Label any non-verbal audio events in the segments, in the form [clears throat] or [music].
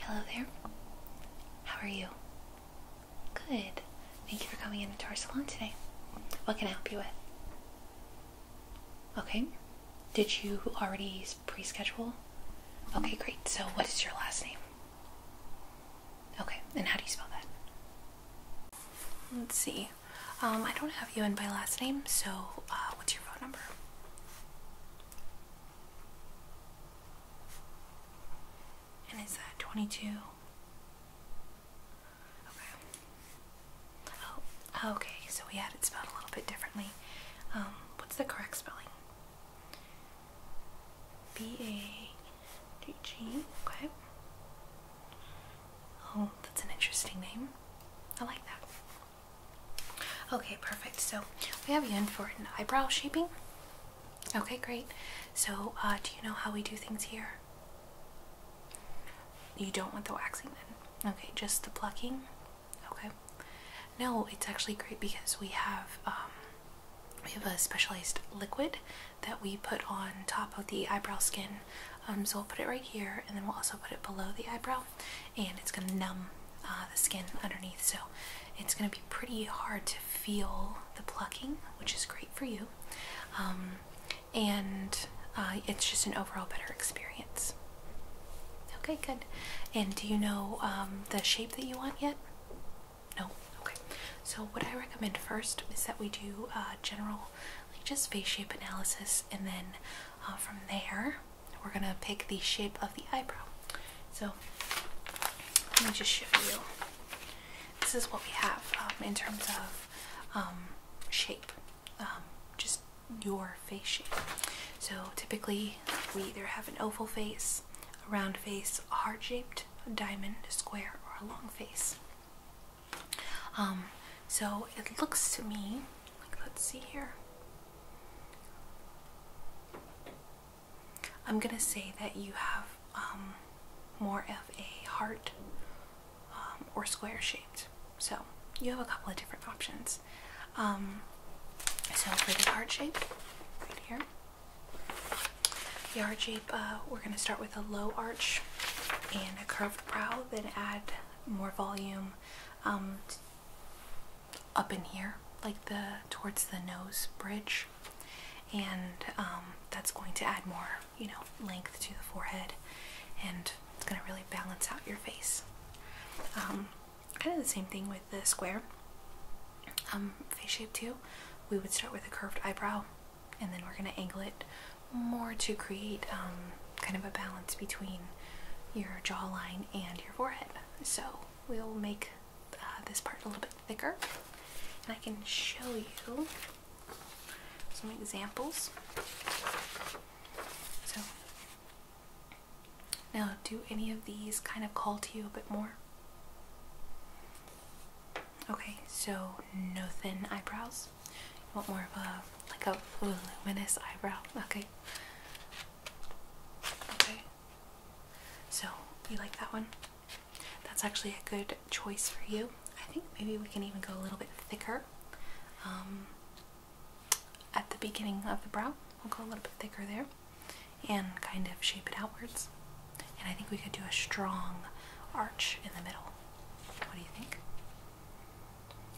Hello there. How are you? Good. Thank you for coming into our salon today. What can I help you with? Okay. Did you already pre-schedule? Okay, great. So what is your last name? Okay, and how do you spell that? Let's see. Um, I don't have you in by last name, so uh, what's your phone number? And is that 22? Okay. Oh, oh, okay, so we had it spelled a little bit differently. Um, what's the correct spelling? B-A-G-G, okay. Oh, that's an interesting name. I like that. Okay, perfect. So we have you in for an eyebrow shaping. Okay, great. So uh, do you know how we do things here? You don't want the waxing then. Okay, just the plucking. Okay. No, it's actually great because we have um, we have a specialized liquid that we put on top of the eyebrow skin. Um, so we'll put it right here, and then we'll also put it below the eyebrow, and it's going to numb uh, the skin underneath. So it's going to be pretty hard to feel the plucking, which is great for you. Um, and uh, it's just an overall better experience. Okay, good. And do you know um, the shape that you want yet? No? Okay. So, what I recommend first is that we do uh, general, like just face shape analysis, and then from there, we're gonna pick the shape of the eyebrow. So let me just show you. This is what we have um, in terms of um, shape, um, just your face shape. So typically we either have an oval face, a round face, heart-shaped, diamond, square, or a long face. so it looks to me like let's see here. I'm gonna say that you have um, more of a heart um, or square shaped. So you have a couple of different options. Um, so for the heart shape, right here, the heart shape, uh, we're gonna start with a low arch and a curved brow, then add more volume up in here, like the towards the nose bridge, and um, that's going to add more, you know, length to the forehead, and it's gonna really balance out your face. Um, kind of the same thing with the square um, face shape too. We would start with a curved eyebrow, and then we're gonna angle it more to create kind of a balance between your jawline and your forehead so we'll make uh, this part a little bit thicker and I can show you some examples. So now do any of these kind of call to you a bit more? Okay, so no thin eyebrows. want more of a like a luminous eyebrow. Okay. Okay. So, you like that one? That's actually a good choice for you. I think maybe we can even go a little bit thicker. Um, at the beginning of the brow, we'll go a little bit thicker there and kind of shape it outwards. And I think we could do a strong arch in the middle. What do you think?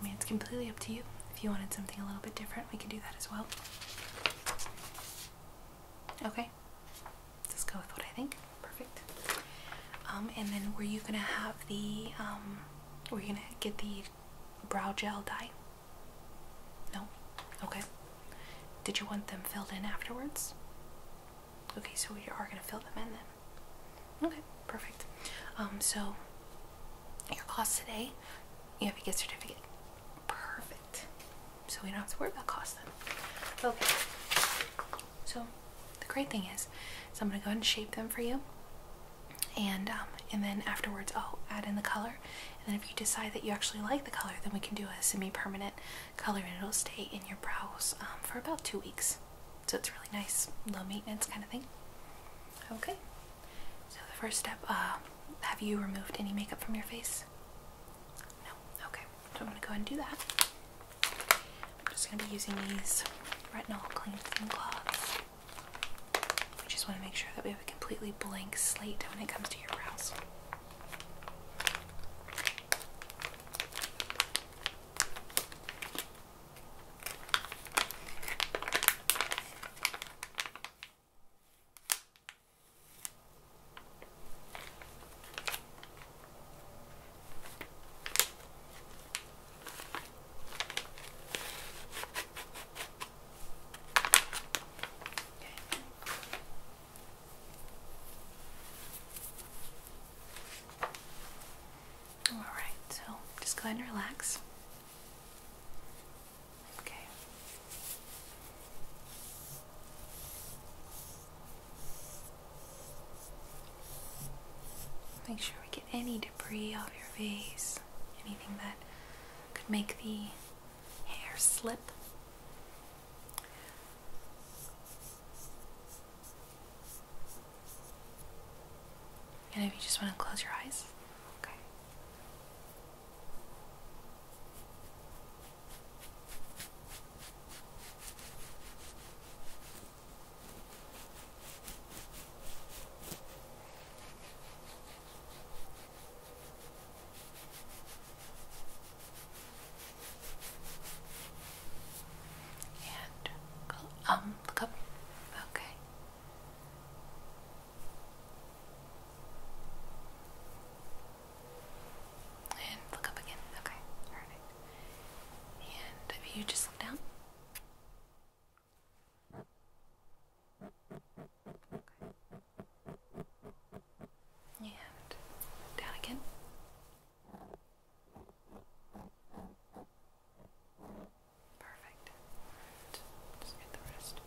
I mean, it's completely up to you. If you wanted something a little bit different, we could do that as well. Okay, let just go with what I think. Perfect. Um, and then were you gonna have the um, were you gonna get the brow gel dye? No. Okay. Did you want them filled in afterwards? Okay, so we are gonna fill them in then. Okay, perfect. Um, so your cost today, you have a gift certificate. Perfect. So we don't have to worry about cost then. Okay. So the great thing is, so I'm gonna go ahead and shape them for you. And um, and then afterwards I'll add in the color. And then if you decide that you actually like the color, then we can do a semi-permanent color and it'll stay in your brows um, for about two weeks. So it's really nice, low maintenance kind of thing. Okay. So the first step, uh, have you removed any makeup from your face? No, okay. So I'm gonna go ahead and do that. I'm just gonna be using these retinol cleansing cloths. We just wanna make sure that we have a completely blank slate when it comes to your brows. All right, so just go ahead and relax. Okay. Make sure we get any debris off your face, anything that could make the hair slip. And if you just want to close your eyes, okay. And um, Okay. And look up again. Okay, And if you just look down. Okay. And down again. Perfect. Just get the rest.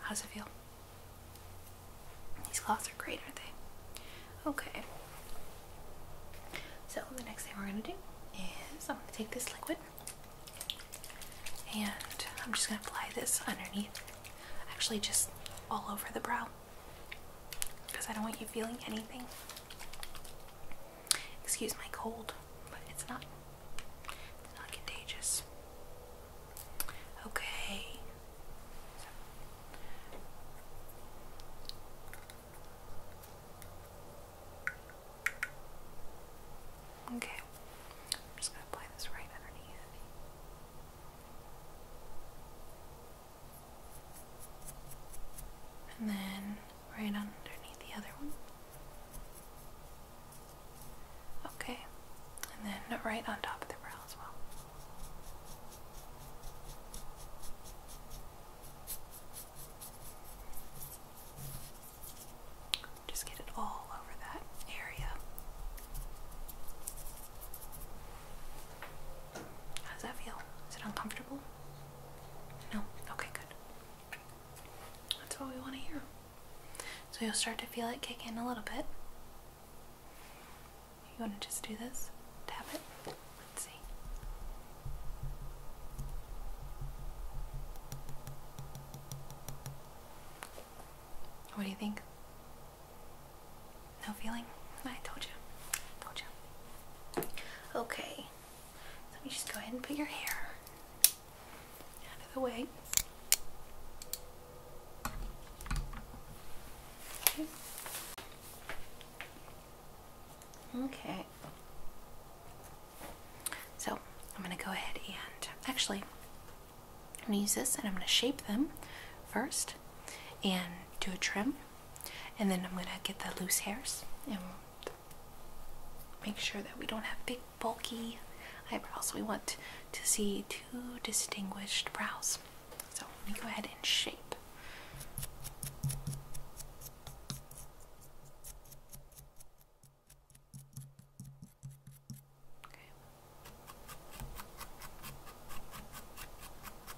How's it feel? These cloths are great, aren't they? Okay. So the next thing we're gonna do is I'm gonna take this liquid and I'm just gonna apply this underneath. Actually, just all over the brow because I don't want you feeling anything. Excuse my cold, but it's not not contagious. Okay. Okay. I'm just going to apply this right underneath and then right underneath the other one. Okay, and then right on top of the brow as well. Just get it all over that area. How does that feel? Is it uncomfortable? No? Okay, good. That's what we want to hear. So you'll start to feel it kick in a little bit. You want to just do this? Tap it? Let's see. What do you think? No feeling? I told you. told you. Okay. Let me just go ahead and put your hair out of the way. Okay. So I'm going to go ahead and actually, going to use this and I'm going to shape them first and do a trim and then I'm gonna get the loose hairs and make sure that we don't have big bulky eyebrows. We want to see two distinguished brows. So let me go ahead and shape let's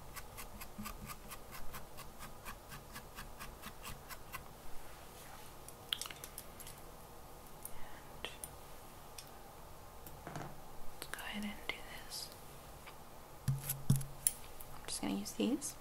go ahead and do this. I'm just going to use these.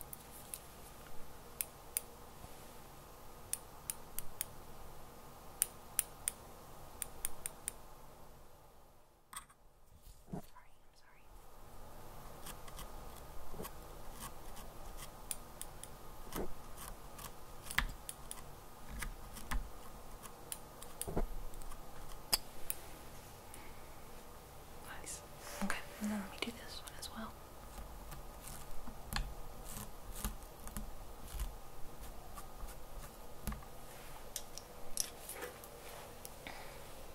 Nice. Okay, and then let me do this one as well.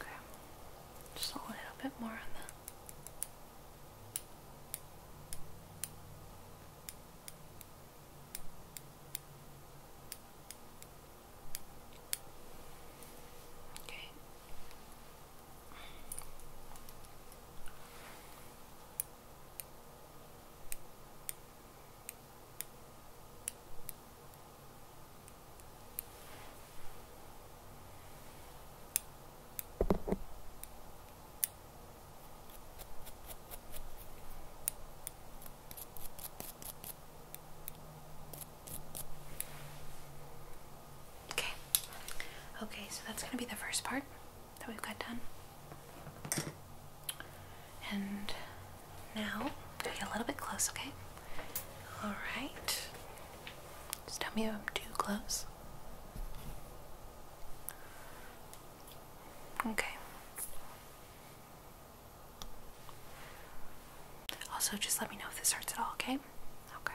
Okay, just a little bit more on that. Okay. Okay. Okay, so that's going to be the first part that we've got done. And now, a little bit close, okay? All right. Just tell me if I'm too close. Okay. Also, just let me know if this hurts at all, okay? Okay.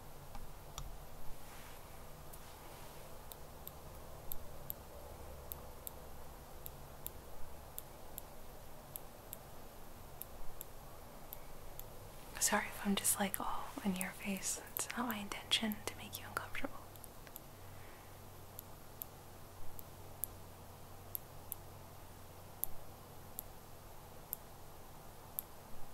Sorry if I'm just like all in your face. It's not my intention to make you uncomfortable.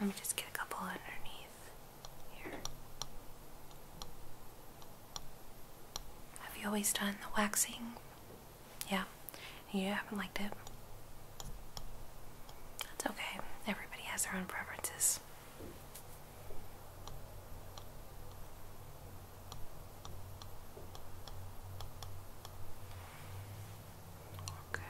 let me just get a couple underneath here. Have you always done the waxing? Yeah, you haven't liked it. That's okay. Everybody has their own preferences. Okay.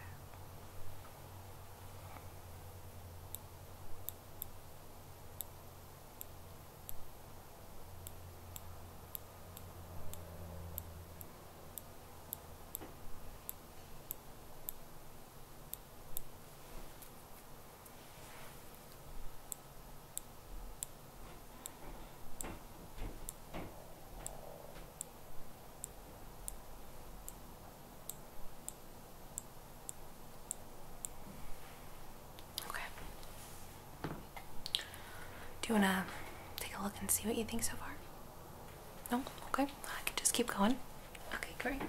Okay. Do you want to take a look and see what you think so far? No? Okay. I can just keep going. Okay, great.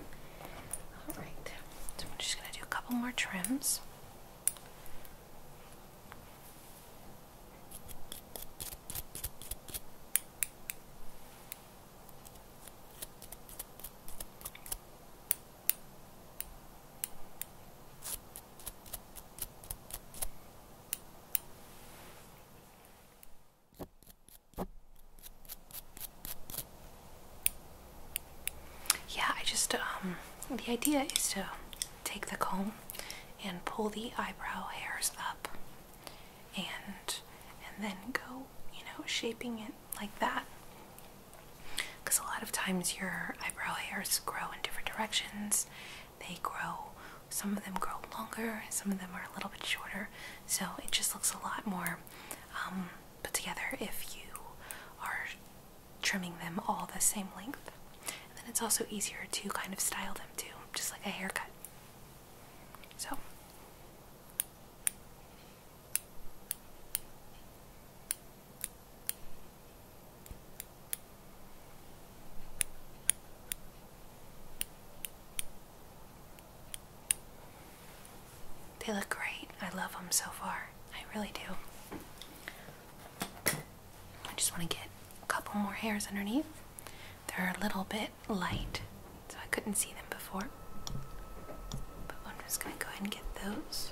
Alright. So I'm just going to do a couple more trims. Yeah, I just, um, the idea is to take the comb and pull the eyebrow hairs up and, and then go, you know, shaping it like that. Because a lot of times your eyebrow hairs grow in different directions they grow, some of them grow longer, some of them are a little bit shorter, so it just looks a lot more um, put together if you are trimming them all the same length. And then it's also easier to kind of style them too, just like a haircut. So. They look great. I love them so far. I really do. I just want to get a couple more hairs underneath. They're a little bit light, so I couldn't see them before. But I'm just going to go ahead and get those.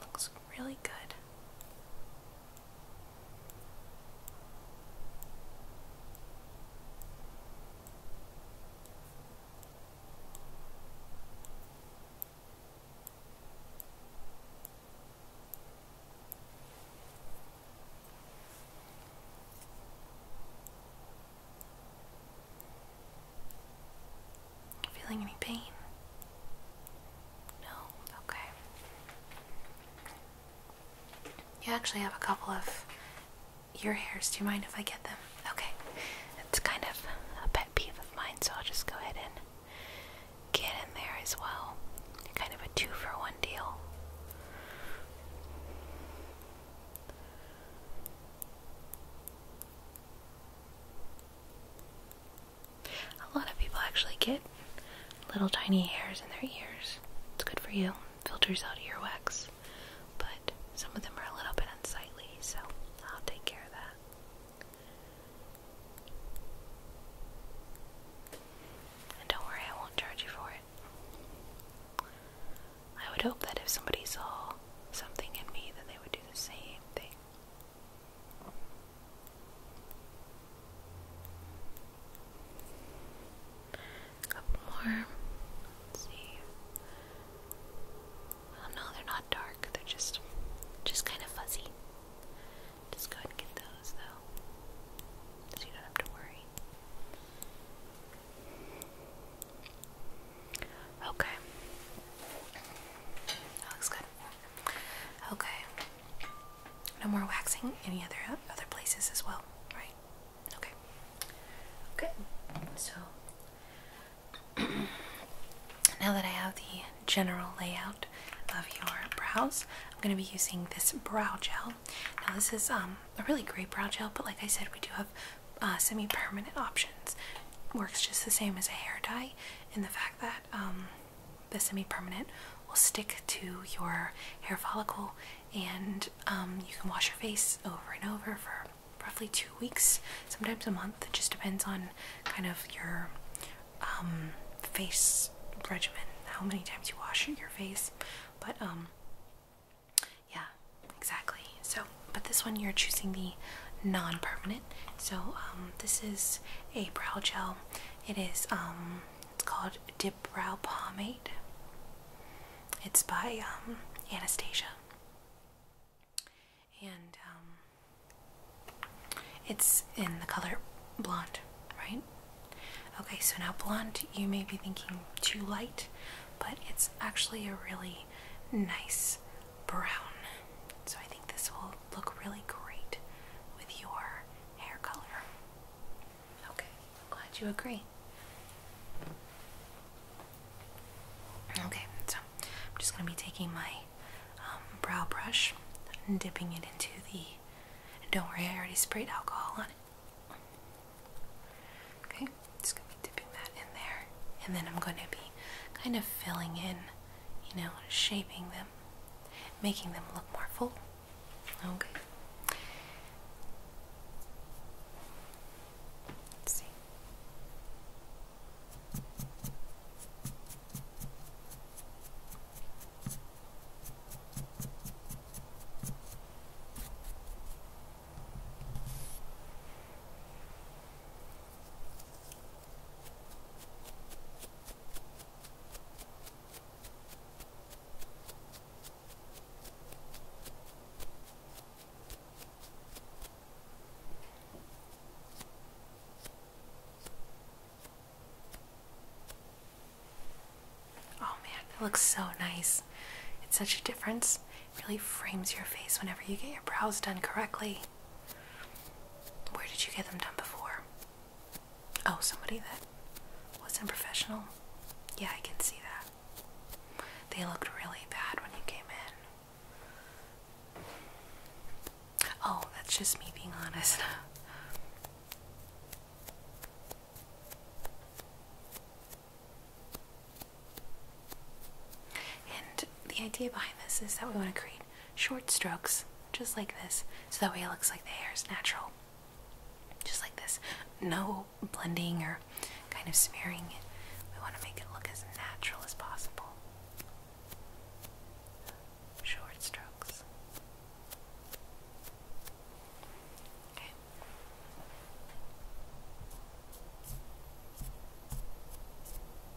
Looks really good. Feeling any pain? No? Okay. You actually have a couple of your hairs. Do you mind if I get them? Okay. It's kind of a pet peeve of mine, so I'll just go ahead and get in there as well. Kind of a two for one deal. A lot of people actually get little tiny hairs in their ears. It's good for you. Filters out earwax. But some of them are a little bit unsightly, so I'll take care of that. And don't worry, I won't charge you for it. I would hope that if somebody saw something in me, that they would do the same thing. A couple more. see. Oh no, they're not dark. They're just, just kind of fuzzy. Just go and get those though, so you don't have to worry. Okay. That looks good. Okay. No more waxing. Any other other places as well, right? Okay. Okay. So [clears throat] now that I have the general layout of your brows, I'm going to be using this brow gel. Now this is um, a really great brow gel, but like I said, we do have uh, semi-permanent options. Works just the same as a hair dye, in the fact that um, the semi-permanent will stick to your hair follicle and um, you can wash your face over and over for roughly two weeks sometimes a month it just depends on kind of your um, face regimen how many times you wash your face but yeah exactly so but this one you're choosing the non-permanent so um, this is a brow gel. It is um, it's called Dip Brow Pomade. It's by um, Anastasia, and um, it's in the color blonde, right? Okay, so now blonde, you may be thinking too light, but it's actually a really nice brown. So I think this will look really great with your hair color. Okay, I'm glad you agree. Okay, so I'm just going to be taking my um, brow brush and dipping it into the. Don't worry, I already sprayed alcohol on it. Okay, just going to be dipping that in there. And then I'm going to be kind of filling in you know, shaping them, making them look more full. Okay. Let's see. Oh man, it looks so nice. It's such a difference. It really frames your face whenever you get your brows done correctly. Where did you get them done before? Oh, somebody that wasn't professional? Yeah, I can see that. They looked really bad when you came in. Oh, that's just me being honest. [laughs] And the idea behind this is that we want to create short strokes, just like this, so that way it looks like the hair is natural. Just like this. No blending or kind of smearing it. We want to make it look as natural as possible. Short strokes. Okay. Oh,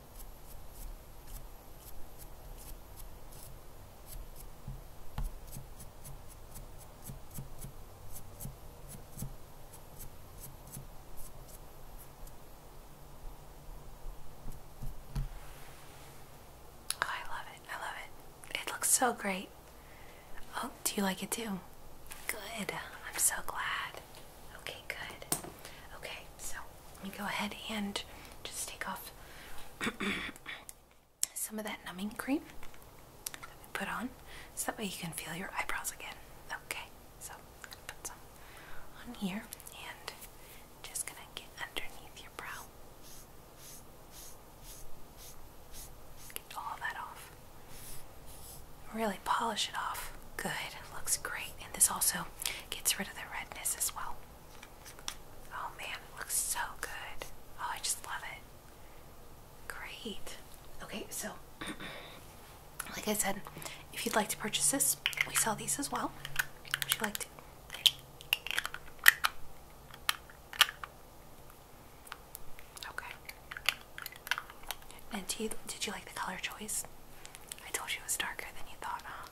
I love it. I love it. It looks so great. Oh, do you like it too? Good. I'm so glad. Okay, good. Okay, so let me go ahead and just take off [clears throat] some of that numbing cream that we put on so that way you can feel your eyebrows again. Okay, so I'm gonna put some on here and just gonna get underneath your brow. Get all that off. Really polish it off. Good. Looks great. And this also gets rid of the redness as well. Oh man, it looks so good. Oh, I just love it. Great. Okay, so [clears throat] like I said, if you'd like to purchase this, we sell these as well. Would you like to? Okay. And did you, did you like the color choice? I told you it was darker than you thought, huh?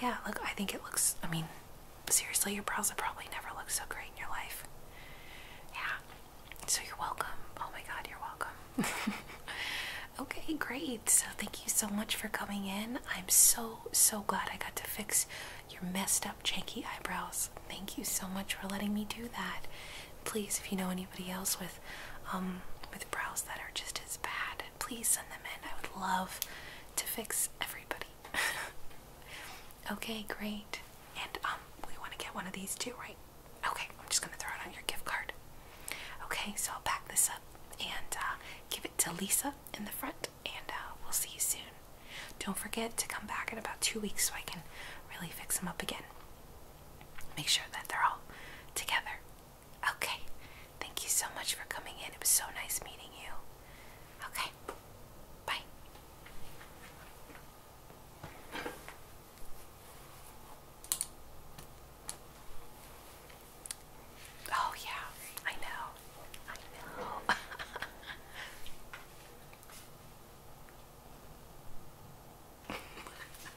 Yeah, look, I think it looks, I mean, seriously, your brows have probably never looked so great in your life. Yeah, so you're welcome. Oh my god, you're welcome. [laughs] okay, great. So thank you so much for coming in. I'm so, so glad I got to fix your messed up, janky eyebrows. Thank you so much for letting me do that. Please, if you know anybody else with um, with brows that are just as bad, please send them in. I would love to fix everybody. [laughs] okay, great. And um, we want to get one of these too, right? Okay, I'm just gonna throw it on your gift card. Okay, so I'll pack this up and uh, give it to Lisa in the front, and uh, we'll see you soon. Don't forget to come back in about two weeks so I can really fix them up again. Make sure that they're all together. Okay. Thank you so much for coming in. It was so nice meeting you. Okay. Bye. Oh, yeah. I know. I know. [laughs]